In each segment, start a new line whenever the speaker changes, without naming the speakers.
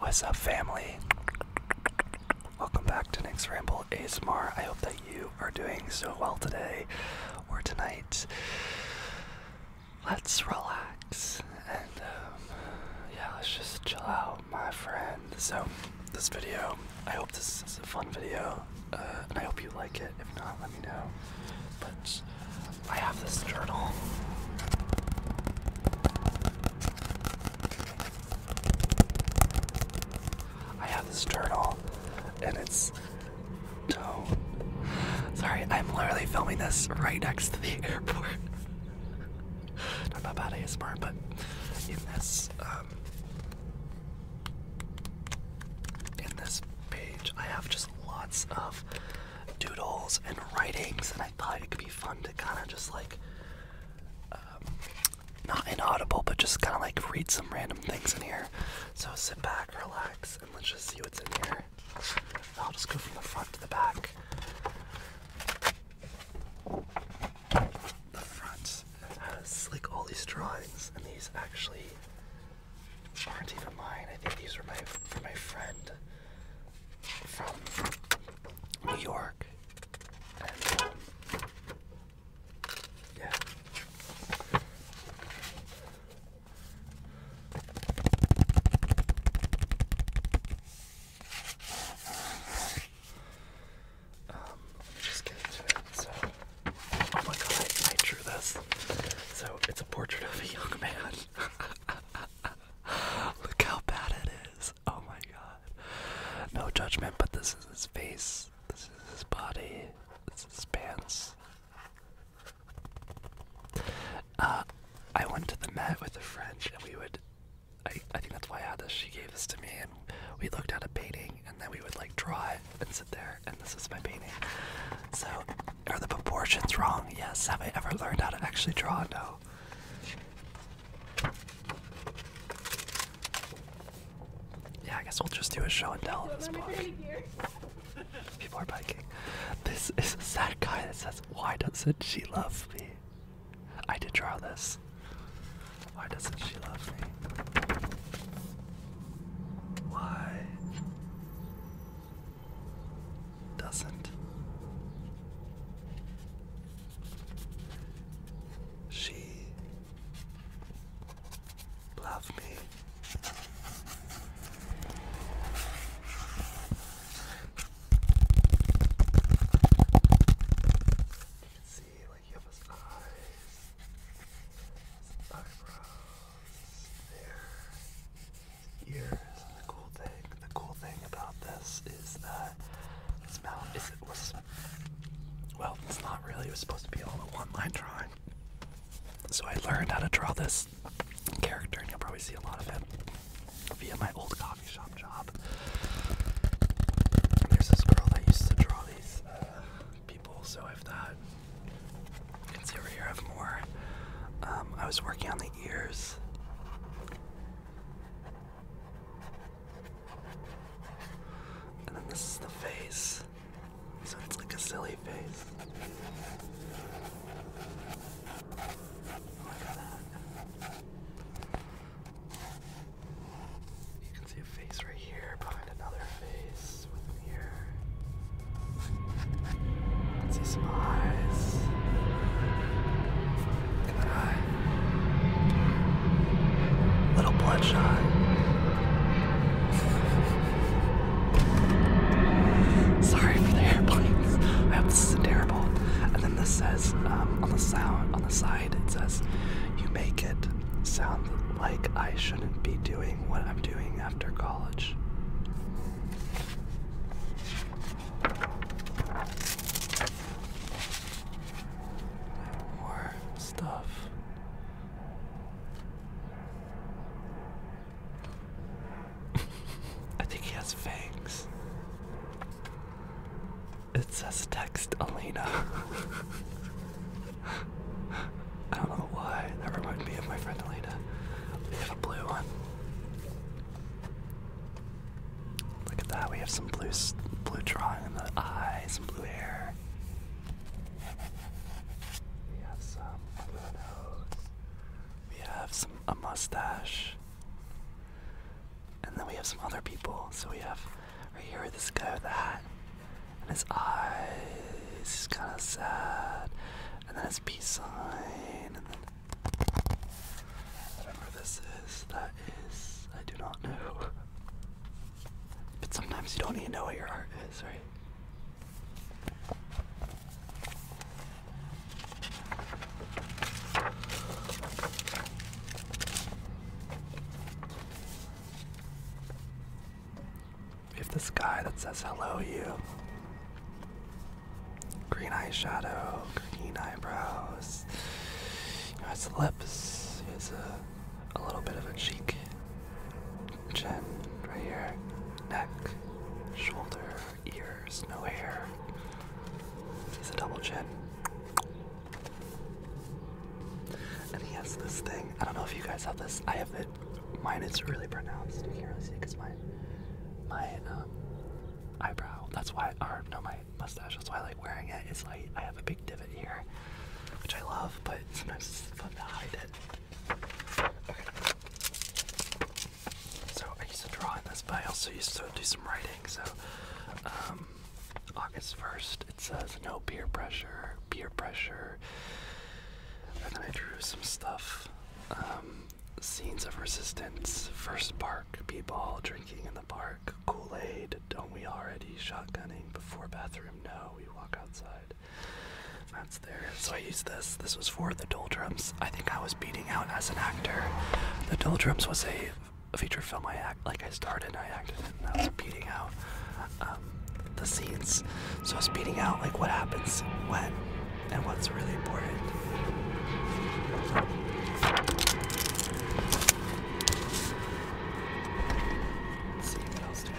What's up, family? Welcome back to Next Ramble ASMR. I hope that you are doing so well today or tonight. Let's relax and um, yeah, let's just chill out, my friend. So, this video, I hope this is a fun video uh, and I hope you like it. If not, let me know. But I have this journal. I have this journal and it's tone. Sorry, I'm literally filming this right next to the airport. Not about bad ASMR, but in this um in this page I have just lots of doodles and writings and I thought it could be fun to kind of just like, um, not inaudible, but just kind of like read some random things in here. So sit back, relax, and let's just see what's in here. I'll just go from the front to the back. The front has like all these drawings, and these actually aren't even mine. I think these were my from my friend from New York. yeah. Um, just get into it. So, oh my god, I drew this. So, it's a portrait of a young man. Look how bad it is. Oh my god. No judgment, but this is his face. This is his body. This is his pants. Uh, I went to the Met with a friend and we would. I, I think that's why I had this. She gave this to me and we looked at a painting and then we would like draw it and sit there and this is my painting. So are the proportions wrong? Yes. Have I ever learned how to actually draw? No. Yeah, I guess we'll just do a show and tell at this point. People are biking. This is a sad guy that says, Why doesn't she love me? I did draw this. Why doesn't she love me? Why doesn't. She love me. You can see like you eyes, eyebrows, ears. The cool thing, the cool thing about this is that his mouth is it was well, it's not really. It was supposed to be all a one-line drawing. So I learned how to draw this character, and you'll probably see a lot of it via my old coffee shop job. there's this girl that used to draw these uh, people, so I've that. You can see over here I have more. Um, I was working on the ears and then this is the face. So it's like a silly face. You can see a face right here behind another face with an ear. Let's see some eyes. Little bloodshot. Sorry for the airplanes. I hope this is not terrible. And then this says um, on the sound on the side it says you make it sound like I shouldn't be doing what I'm doing after college. More stuff. I think he has fangs. It says text Alina. I don't know why. That reminds me of my friend Alina. We a blue one. Look at that, we have some blue, blue drawing in the eyes, some blue hair. We have some blue nose. We have some a mustache. And then we have some other people. So we have right here this guy with the hat. And his eyes, he's kinda sad. And then it's peace sign. Whatever this is, that is, I do not know. But sometimes you don't even know what your art is, right? We have this guy that says hello you green eyeshadow, green eyebrows. You lips. It's a, a little bit of a cheek, chin right here, neck, shoulder, ears, no hair. He's a double chin. And he has this thing. I don't know if you guys have this. I have it. Mine is really pronounced. You can't really see because my my um, eyebrow. That's why, or no, my mustache. That's why I like wearing it. It's like I have a big divot here, which I love, but sometimes it's fun to hide it. So I used to draw in this, but I also used to do some writing. So, um, August 1st, it says no beer pressure, Beer pressure. And then I drew some stuff. Um, Scenes of Resistance, First Park, people drinking in the park, Kool Aid, don't we already, shotgunning, before bathroom, no, we walk outside. That's there. So I used this. This was for the Doldrums. I think I was beating out as an actor. The Doldrums was a, feature film I act like I started. and I acted and I was beating out um, the scenes. So I was beating out like what happens when and what's really important. see what else do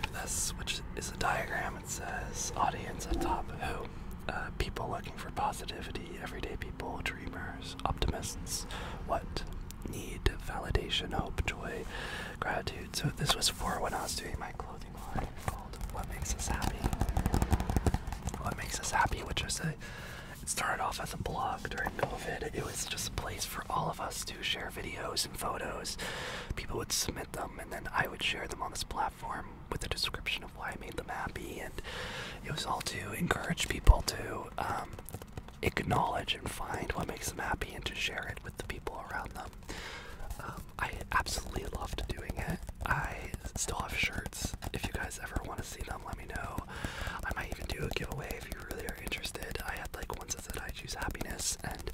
have. This, which is a diagram, it says audience top. who? Uh, people looking for positivity, everyday people, dreamers, optimists, what? Need validation, hope, joy, gratitude. So this was for when I was doing my clothing line "What Makes Us Happy." What makes us happy, which is a it started off as a blog during COVID. It was just a place for all of us to share videos and photos. People would submit them, and then I would share them on this platform with a description of why I made them happy. And it was all to encourage people to um, acknowledge and find what makes them happy and to share it the people around them. Um, I absolutely loved doing it. I still have shirts. If you guys ever want to see them, let me know. I might even do a giveaway if you really are interested. I had like one that said I choose happiness, and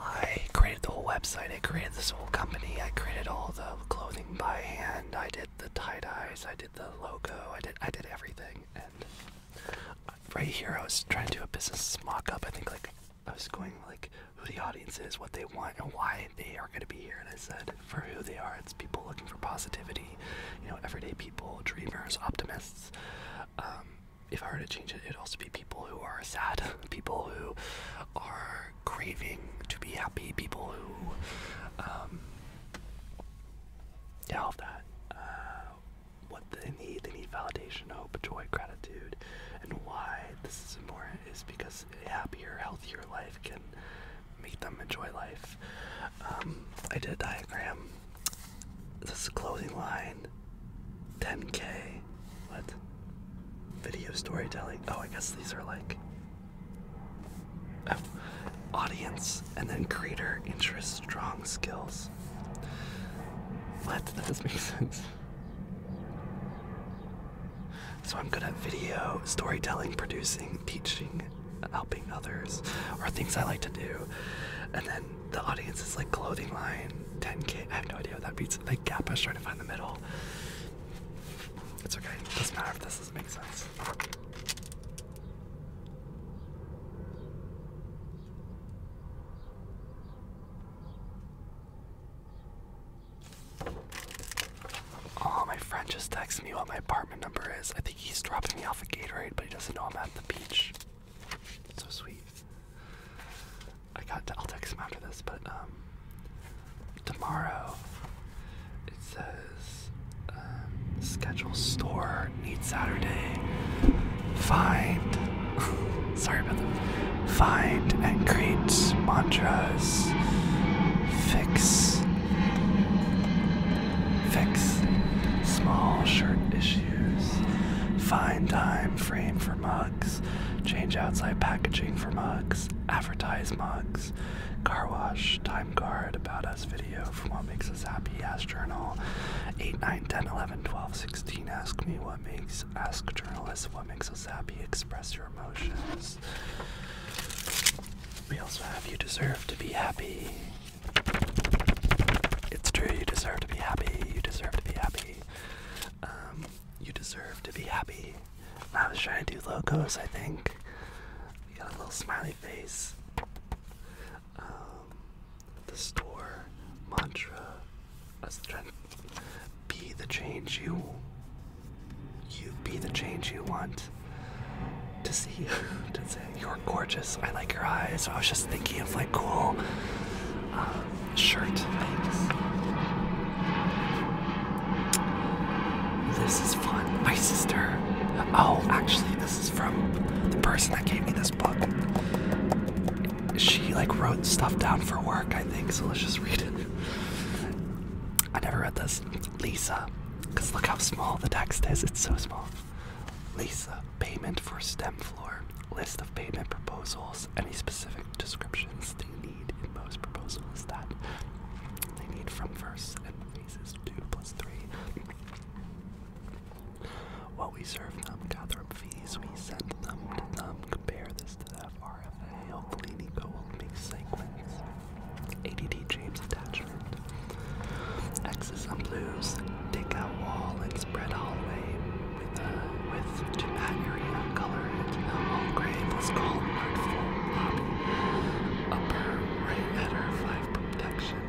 I created the whole website. I created this whole company. I created all the clothing by hand. I did the tie dyes. I did the logo. I did I did everything, and right here, I was trying to do a business mock-up. I think like I was going like who the audience is, what they want, and why they are going to be here. And I said for who they are, it's people looking for positivity, you know, everyday people, dreamers, optimists. Um, if I were to change it, it'd also be people who are sad, people who are craving to be happy, people who, um, yeah, all that. Uh, what they need. They need validation, hope, joy, gratitude, and why this is important is because a happier, healthier life can make them enjoy life. Um, I did a diagram. This is a clothing line. 10k. What? Video storytelling. Oh, I guess these are like oh, audience and then creator interest strong skills what? That doesn't make sense. So I'm good at video, storytelling, producing, teaching, helping others, or things I like to do. And then the audience is like clothing line, 10k. I have no idea what that beats. Like gap, I am trying to find the middle. It's okay. It doesn't matter if this doesn't make sense. Oh, my friend just texted me what my apartment number is. I think he's dropping me off a Gatorade, but he doesn't know I'm at the beach. So sweet. I got. To, I'll text him after this, but um, tomorrow it says um, schedule store Need Saturday. Find, sorry about that. Find and create mantras. Fix, fix small shirt issues. Find time frame for mugs. Change outside packaging for mugs. Advertise mugs. Car wash, time card, about us video from what makes us happy, as journal, 8, 9, 10, 11, 12, 16. 15 ask me what makes ask journalists what makes us happy express your emotions we also have you deserve to be happy it's true you deserve to be happy you deserve to be happy um, you deserve to be happy i was trying to do logos i think we got a little smiley face um, the store mantra as trying to be the change you you be the change you want to see to say you're gorgeous I like your eyes I was just thinking of like cool uh, shirt things this is fun my sister oh actually this is from the person that gave me this book she like wrote stuff down for work, I think, so let's just read it. I never read this. Lisa, because look how small the text is, it's so small. Lisa, payment for STEM floor, list of payment proposals, any specific descriptions they need in most proposals that they need from first and phases two plus three. While we serve them, gather fees, we send them to them. Compare this to that RFA. Hopefully, Nico will make segments. ADD James attachment. X's on blues. Take out wall and spread hallway with a uh, with to that area. Color into the whole grave. let called call for lobby. Upper right letter five protection.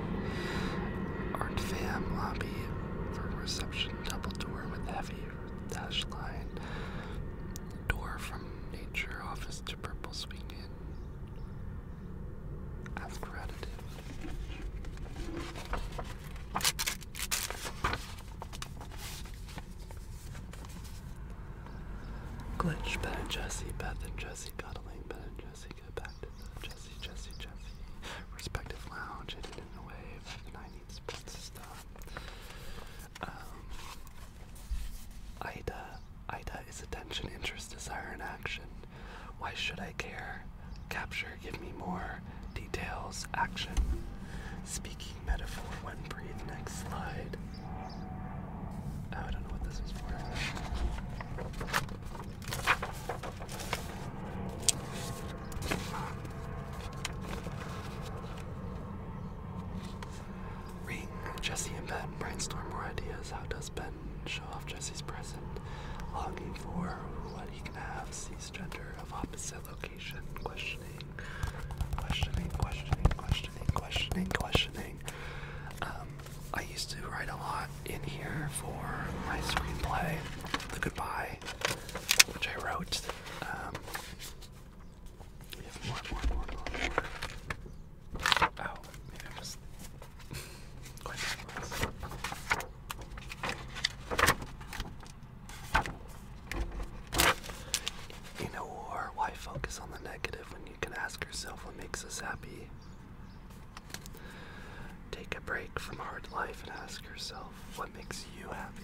Art fam lobby for reception double door with heavy dash line. Door from nature office to purple swinging. As credited. Glitch, Ben and Jesse, Beth and Jesse, cuddling, Ben and Jessica, back Jesse, Jesse, Jesse. Respective lounge, hidden in the wave of the 90s princess Um Ida. Ida is attention, interest, desire, and action. Why should I care? Capture, give me more. Details, action. Speaking metaphor, when breathe, next slide. Oh, I don't know what this is for. Ring. Jesse and Ben brainstorm more ideas. How does Ben show off Jesse's present? Longing for what he can have. Sees gender of opposite location. Questioning. Questioning, questioning, questioning, questioning, questioning. Um, I used to write a lot in here for my screenplay, The Goodbye, which I wrote. Um, oh, in a war, why focus on the negative when you can ask yourself what makes us happy? Take a break from hard life and ask yourself what makes you happy.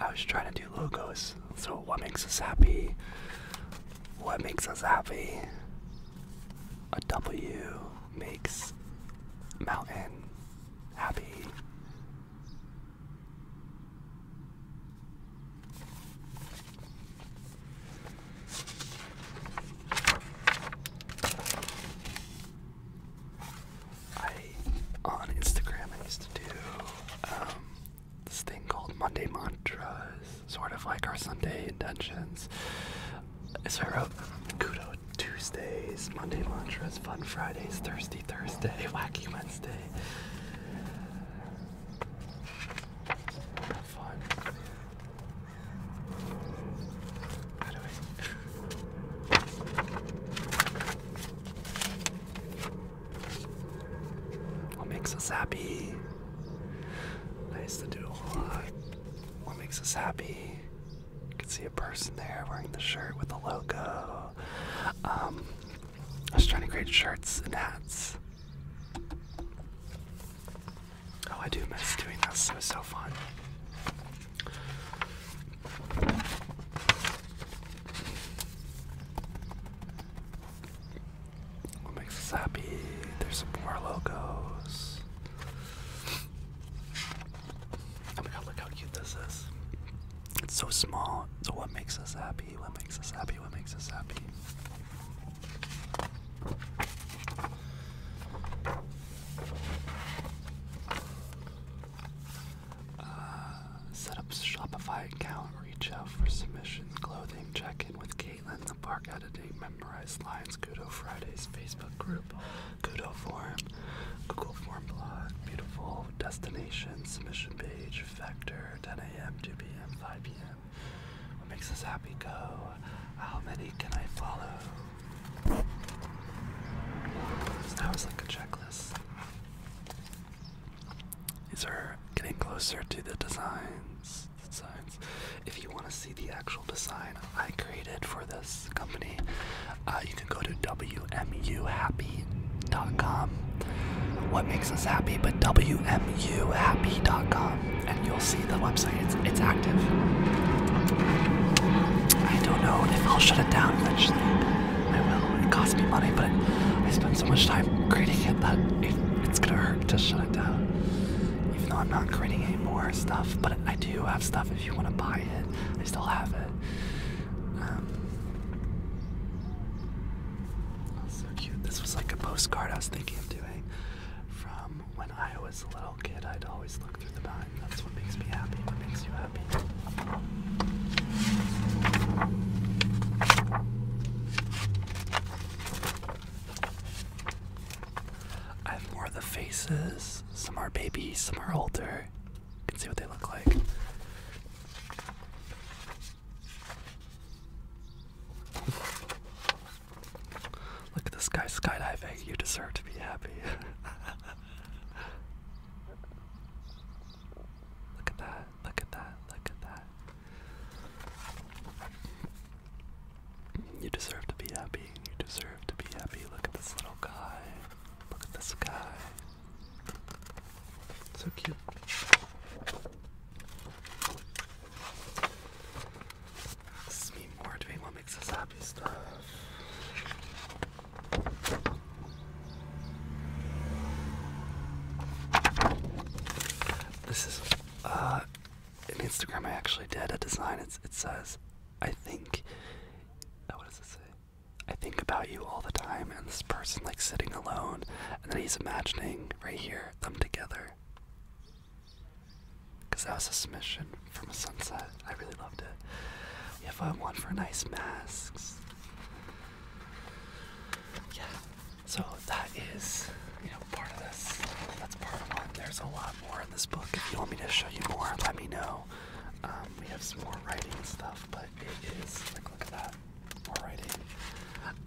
I was trying to do logos. So, what makes us happy? What makes us happy? A W makes mountain happy. I on Instagram I used to do um, this thing called Monday Mantras, sort of like our Sunday intentions. So I wrote Kudo Tuesdays, Monday Mantras, Fun Fridays, Thirsty Thursday, Wacky Wednesday what makes us happy? Nice to do a What makes us happy? You can see a person there wearing the shirt with the logo. Um, I was trying to create shirts and hats. Oh, I do miss doing this. It was so fun. What makes us happy? There's more logos. Oh my god, look how cute this is. It's so small, so what makes us happy? What makes us happy? What makes us happy? Uh, set up Shopify account, reach out for submissions, clothing, check in with Caitlin, the park editing, memorize lines, Kudo Fridays, Facebook group, Kudo Forum, Google Form blog, beautiful destination, submission page, vector, 10 a.m., 2 p.m., 5 p.m. What makes us happy go? How many can I follow? that was like a checklist. These are getting closer to the designs. Designs. If you want to see the actual design I created for this company, uh, you can go to WMUHappy happy.com. What makes us happy? But wmuhappy.com, and you'll see the website. It's it's active. I don't know if I'll shut it down eventually. I will. It costs me money, but I spend so much time creating it that it's gonna hurt to shut it down. Even though I'm not creating any more stuff, but I do have stuff. If you want to buy it, I still have it. Um, Oh, so cute. This was like a postcard I was thinking of doing from when I was a little kid. I'd always look through the bin. That's what makes me happy. What makes you happy? I have more of the faces. Some are babies. some are older. You can see what they look like. Look at this guy skydiving. You deserve to be happy. look at that. Look at that. Look at that. You deserve to be happy. You deserve to be happy. Look at this little guy. Look at this guy. So cute. Let's meet more doing what makes us happy stuff. This is an uh, Instagram I actually did a design. It's, it says, I think. Oh, what does it say? I think about you all the time, and this person like sitting alone and then he's imagining right here them together. Because that was a submission from a sunset. I really loved it. We have uh, one for nice masks. Yeah. So that is, you know, part of this. That's part of what. There's a lot more in this book. If you want me to show you more, let me know. Um, we have some more writing stuff, but it is look at that.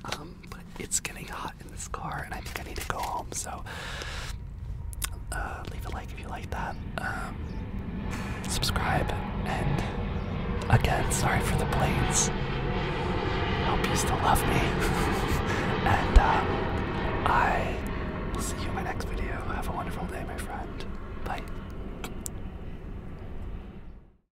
Um, it's getting hot in this car, and I think I need to go home. So, uh, leave a like if you like that. Um, subscribe, and again, sorry for the planes. Hope you still love me. and uh, I will see you in my next video. Have a wonderful day, my friend. Bye.